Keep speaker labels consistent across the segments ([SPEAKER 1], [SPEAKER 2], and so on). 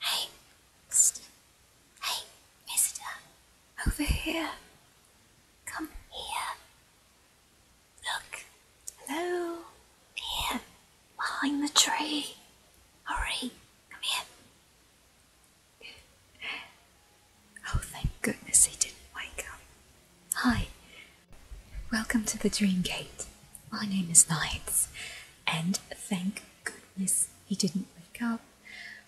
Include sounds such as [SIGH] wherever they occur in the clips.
[SPEAKER 1] Hey, Psst. Hey, mister. Over here. Come here. Look. Hello. Here. Behind the tree. Hurry. Come here. Oh, thank goodness he didn't wake up. Hi, welcome to the Dream Gate. My name is Nights, and thank goodness he didn't wake up.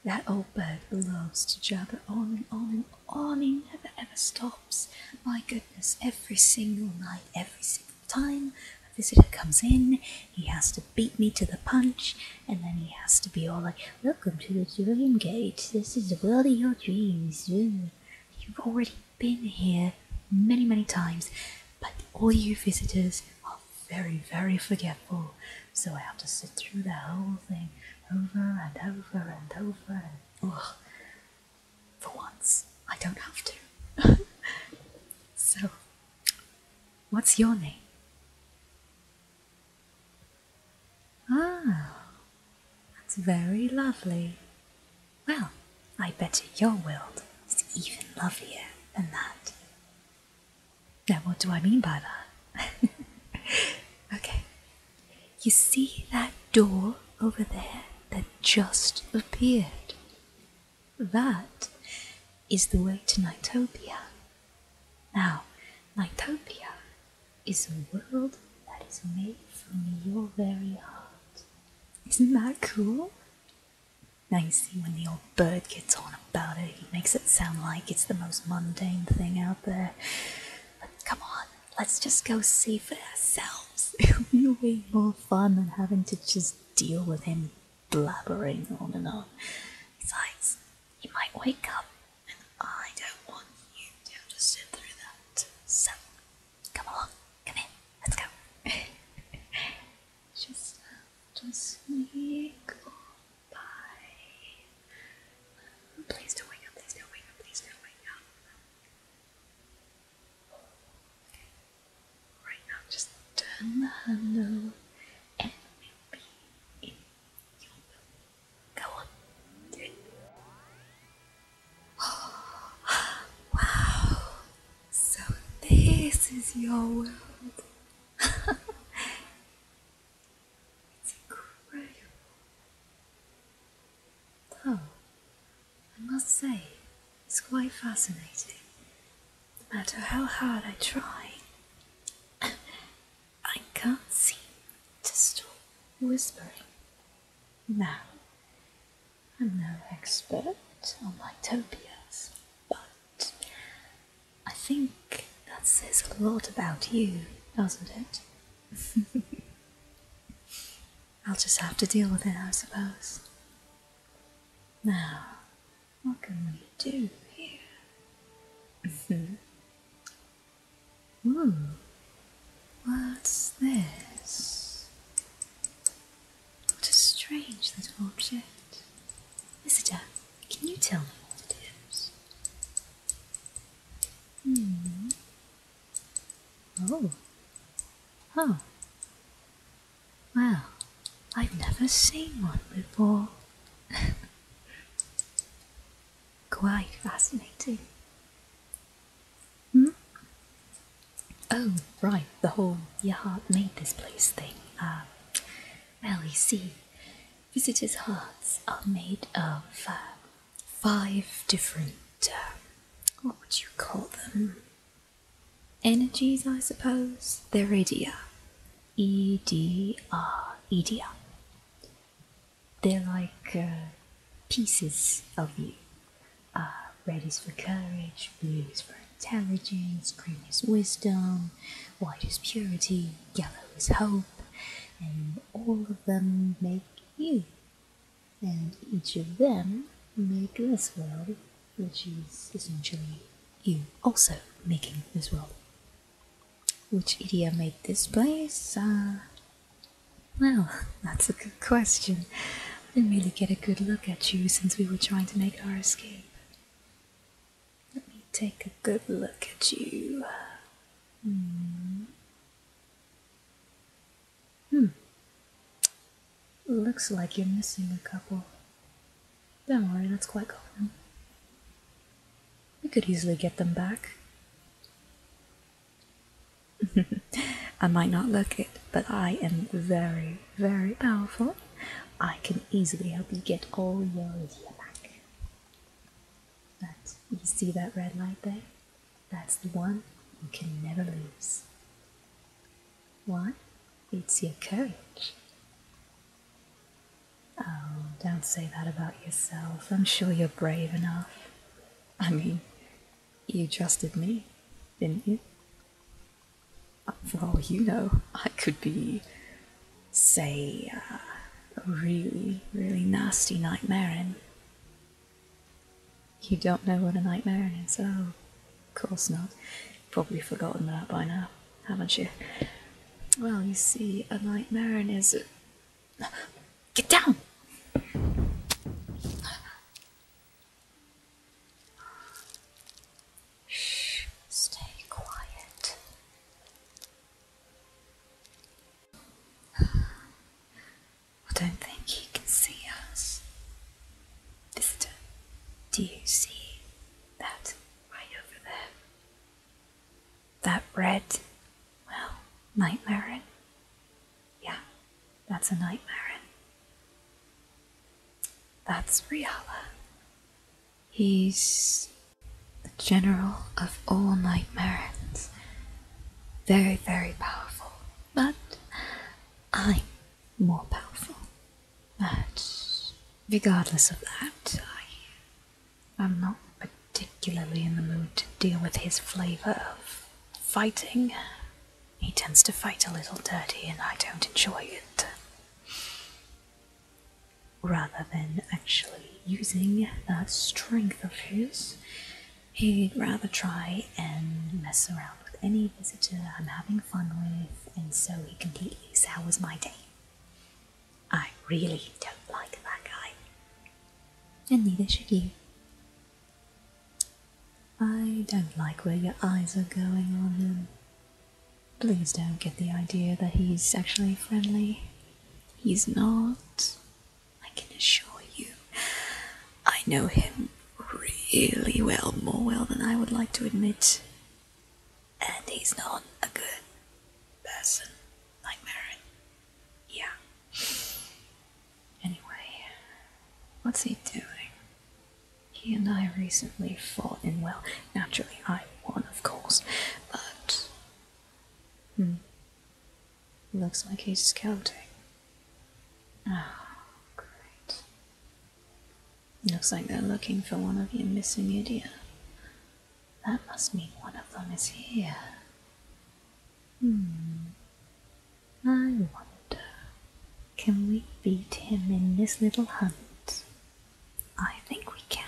[SPEAKER 1] That old bird loves to jabber on and on and on. and never ever stops. My goodness, every single night, every single time a visitor comes in, he has to beat me to the punch, and then he has to be all like, Welcome to the Dream Gate. This is the world of your dreams. You've already been here many, many times, but all you visitors are very, very forgetful. So I have to sit through the whole thing over and over and over. ugh. For once, I don't have to. [LAUGHS] so, what's your name? Ah, that's very lovely. Well, I bet your world is even lovelier than that. Now, what do I mean by that? [LAUGHS] okay, you see that door over there that just appeared? That is the way to Nightopia. Now, Nightopia is a world that is made from your very heart. Isn't that cool? Now you see when the old bird gets on about it, he makes it sound like it's the most mundane thing out there. But come on, let's just go see for ourselves. [LAUGHS] It'll be way more fun than having to just deal with him blabbering on and on. Besides, you might wake up, and I don't want you to have to sit through that. So, come along, come in, let's go. [LAUGHS] just have uh, to sneak by. Please don't wake up, please don't wake up, please don't wake up. Right now, just turn the handle and we'll be in your room. Go on. Oh, [GASPS] wow. So this is your world. [LAUGHS] it's incredible. Though, I must say, it's quite fascinating. No matter how hard I try, I can't see. to stop whispering. Now, I'm no expert on Mytopias, but I think that says a lot about you, doesn't it? [LAUGHS] I'll just have to deal with it, I suppose. Now, what can we do here? [LAUGHS] Ooh, hmm. what's this? What a strange little object. Visitor, can you tell me what it is? Hmm. Oh. Oh. Well, I've never seen one before. [LAUGHS] Quite fascinating. Hmm? Oh, right, the whole your heart made this place thing. Uh, well, you see, visitors' hearts are made of um, five different, um, what would you call them? Energies, I suppose? They're radia. EDR, EDR. They're like uh, pieces of you. Uh, red is for courage, blue is for intelligence, green is wisdom, white is purity, yellow is hope, and all of them make you. And each of them make this world, which is essentially you also making this world. Which idiot made this place? Uh, well, [LAUGHS] that's a good question. I didn't really get a good look at you since we were trying to make our escape. Let me take a good look at you. Hmm. hmm. Looks like you're missing a couple. Don't worry, that's quite common. We could easily get them back. [LAUGHS] I might not look it, but I am very, very powerful. I can easily help you get all your gear back. That you see that red light there? That's the one you can never lose. Why? It's your courage. Oh, don't say that about yourself. I'm sure you're brave enough. I mean, you trusted me, didn't you? For all you know, I could be, say, uh, a really, really nasty nightmare in. You don't know what a nightmare is? Oh, of course not probably forgotten that by now, haven't you? Well, you see, a nightmare is. [SIGHS] Get down! Shh, [SIGHS] stay quiet. [SIGHS] I don't think he can see us. Visitor, do you see that? right over there. That red, well, nightmare Yeah, that's a nightmare That's Riala. He's the general of all nightmares. Very, very powerful, but I'm more powerful. But regardless of that, I am not particularly in the mood to deal with his flavour of fighting. He tends to fight a little dirty, and I don't enjoy it. Rather than actually using that strength of his, he'd rather try and mess around with any visitor I'm having fun with, and so he can please, how was my day? I really don't like that guy. And neither should you. I don't like where your eyes are going on him. Please don't get the idea that he's actually friendly. He's not. I can assure you. I know him really well, more well than I would like to admit and he's not a good person like Marin. Yeah. Anyway, what's he doing? He and I recently fought in well, naturally I won, of course, but hmm. Looks like he's counting. Oh, great. Looks like they're looking for one of you missing idiot. That must mean one of them is here. Hmm. I wonder, can we beat him in this little hunt? I think we can.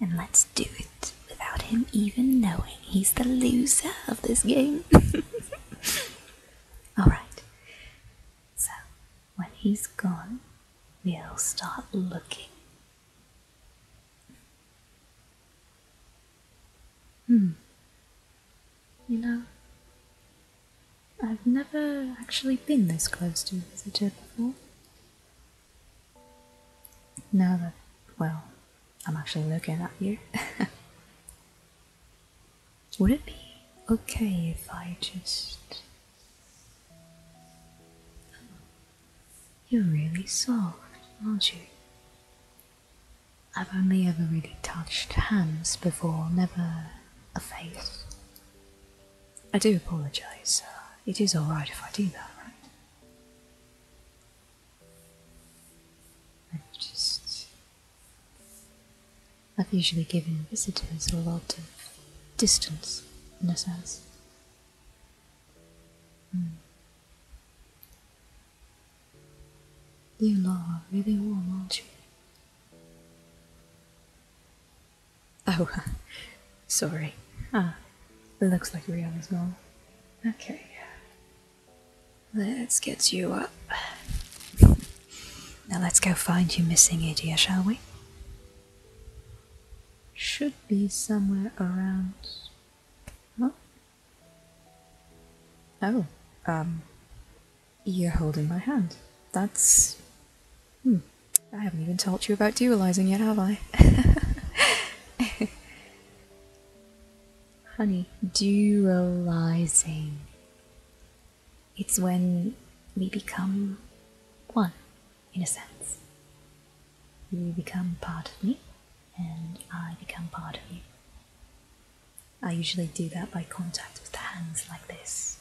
[SPEAKER 1] And let's do it without him even knowing he's the loser of this game. [LAUGHS] Alright, so when he's gone, we'll start looking. Hmm. You know, I've never actually been this close to a visitor before. Now that, well, I'm actually looking at you. [LAUGHS] Would it be okay if I just. you're really soft, aren't you? I've only ever really touched hands before, never a face. I do apologise. it is alright if I do that, right? I just I've usually given visitors a lot of distance, in a sense. Hmm. You lot are really warm, are you? Oh, [LAUGHS] sorry. Ah, it looks like Rihanna's gone. Okay. Let's get you up. Now let's go find you missing idiot, shall we? Should be somewhere around. Huh? Oh, um, you're holding my hand. That's. Hmm. I haven't even told you about dualizing yet, have I? [LAUGHS] Honey, dualizing. It's when we become one, in a sense. You become part of me, and I become part of you. I usually do that by contact with the hands like this.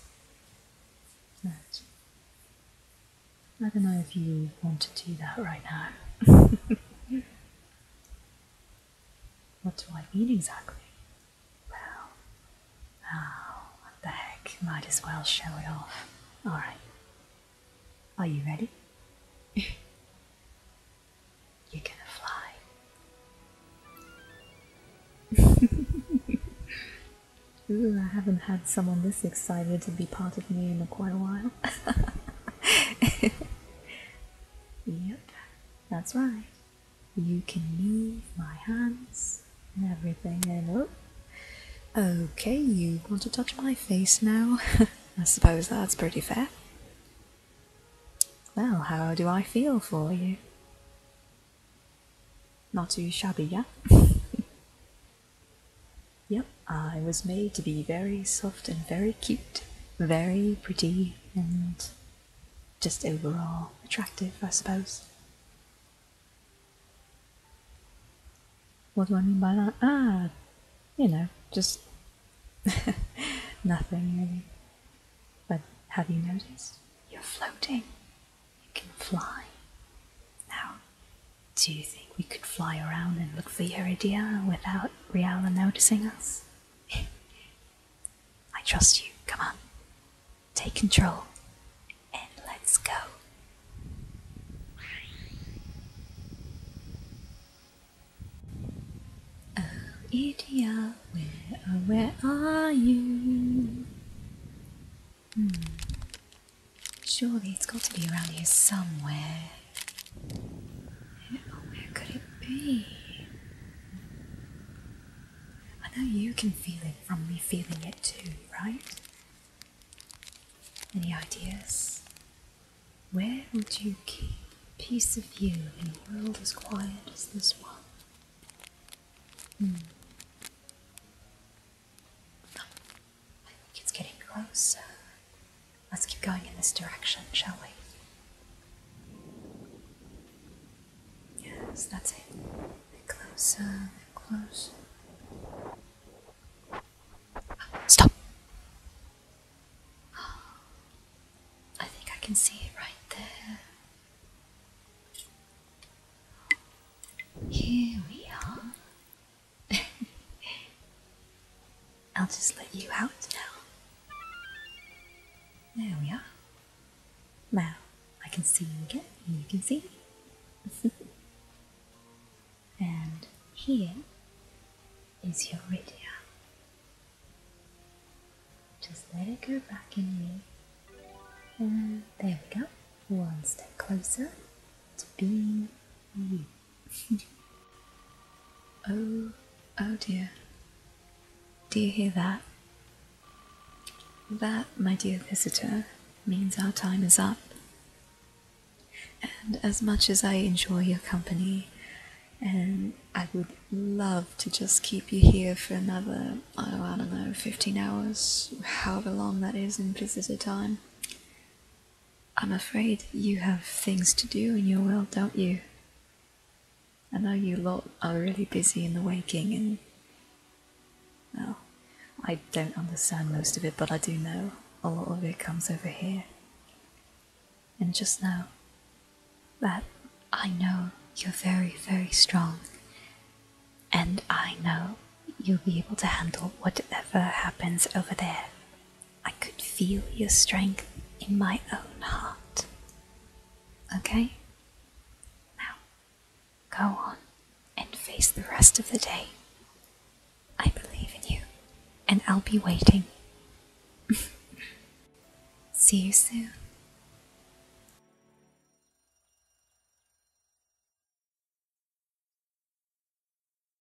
[SPEAKER 1] I don't know if you want to do that right now. [LAUGHS] What do I mean exactly? Well, oh, what the heck, might as well show it off. Alright. Are you ready? [LAUGHS] You're gonna fly. [LAUGHS] Ooh, I haven't had someone this excited to be part of me in quite a while. [LAUGHS] yep, that's right. You can move my hands and everything and oh. Okay, you want to touch my face now? [LAUGHS] I suppose that's pretty fair. Well, how do I feel for you? Not too shabby, yeah? [LAUGHS] yep, I was made to be very soft and very cute, very pretty and just overall attractive, I suppose. What do I mean by that? Ah, you know, just [LAUGHS] nothing really. But have you noticed? You're floating. You can fly. Now, do you think we could fly around and look for Iridia without Riala noticing us? I trust you. Come on. Take control. And let's go. Oh, India, where, oh, where are you? Hmm. Surely it's got to be around here somewhere. Where could it be? I know you can feel it from me feeling it too, right? Any ideas? Where would you keep a piece of you in a world as quiet as this one? Hmm. I think it's getting closer. Let's keep going in this direction, shall we? Yes, that's it. closer, closer. Stop! I think I can see it right there. Here we are. [LAUGHS] I'll just let you out now. There we are. Now I can see you again, and you can see me. [LAUGHS] and here is your radio. Just let it go back in you. And there we go. One step closer to being you. [LAUGHS] oh, oh dear. Do you hear that? That, my dear visitor, means our time is up. And as much as I enjoy your company, and I would love to just keep you here for another, oh, I don't know, 15 hours, however long that is in visitor time, I'm afraid you have things to do in your world, don't you? I know you lot are really busy in the waking and. Well, I don't understand most of it, but I do know a lot of it comes over here. And just know that I know you're very, very strong. And I know you'll be able to handle whatever happens over there. I could feel your strength in my own heart. Okay? Now, go on and face the rest of the day. I believe in you, and I'll be waiting. [LAUGHS] See you soon.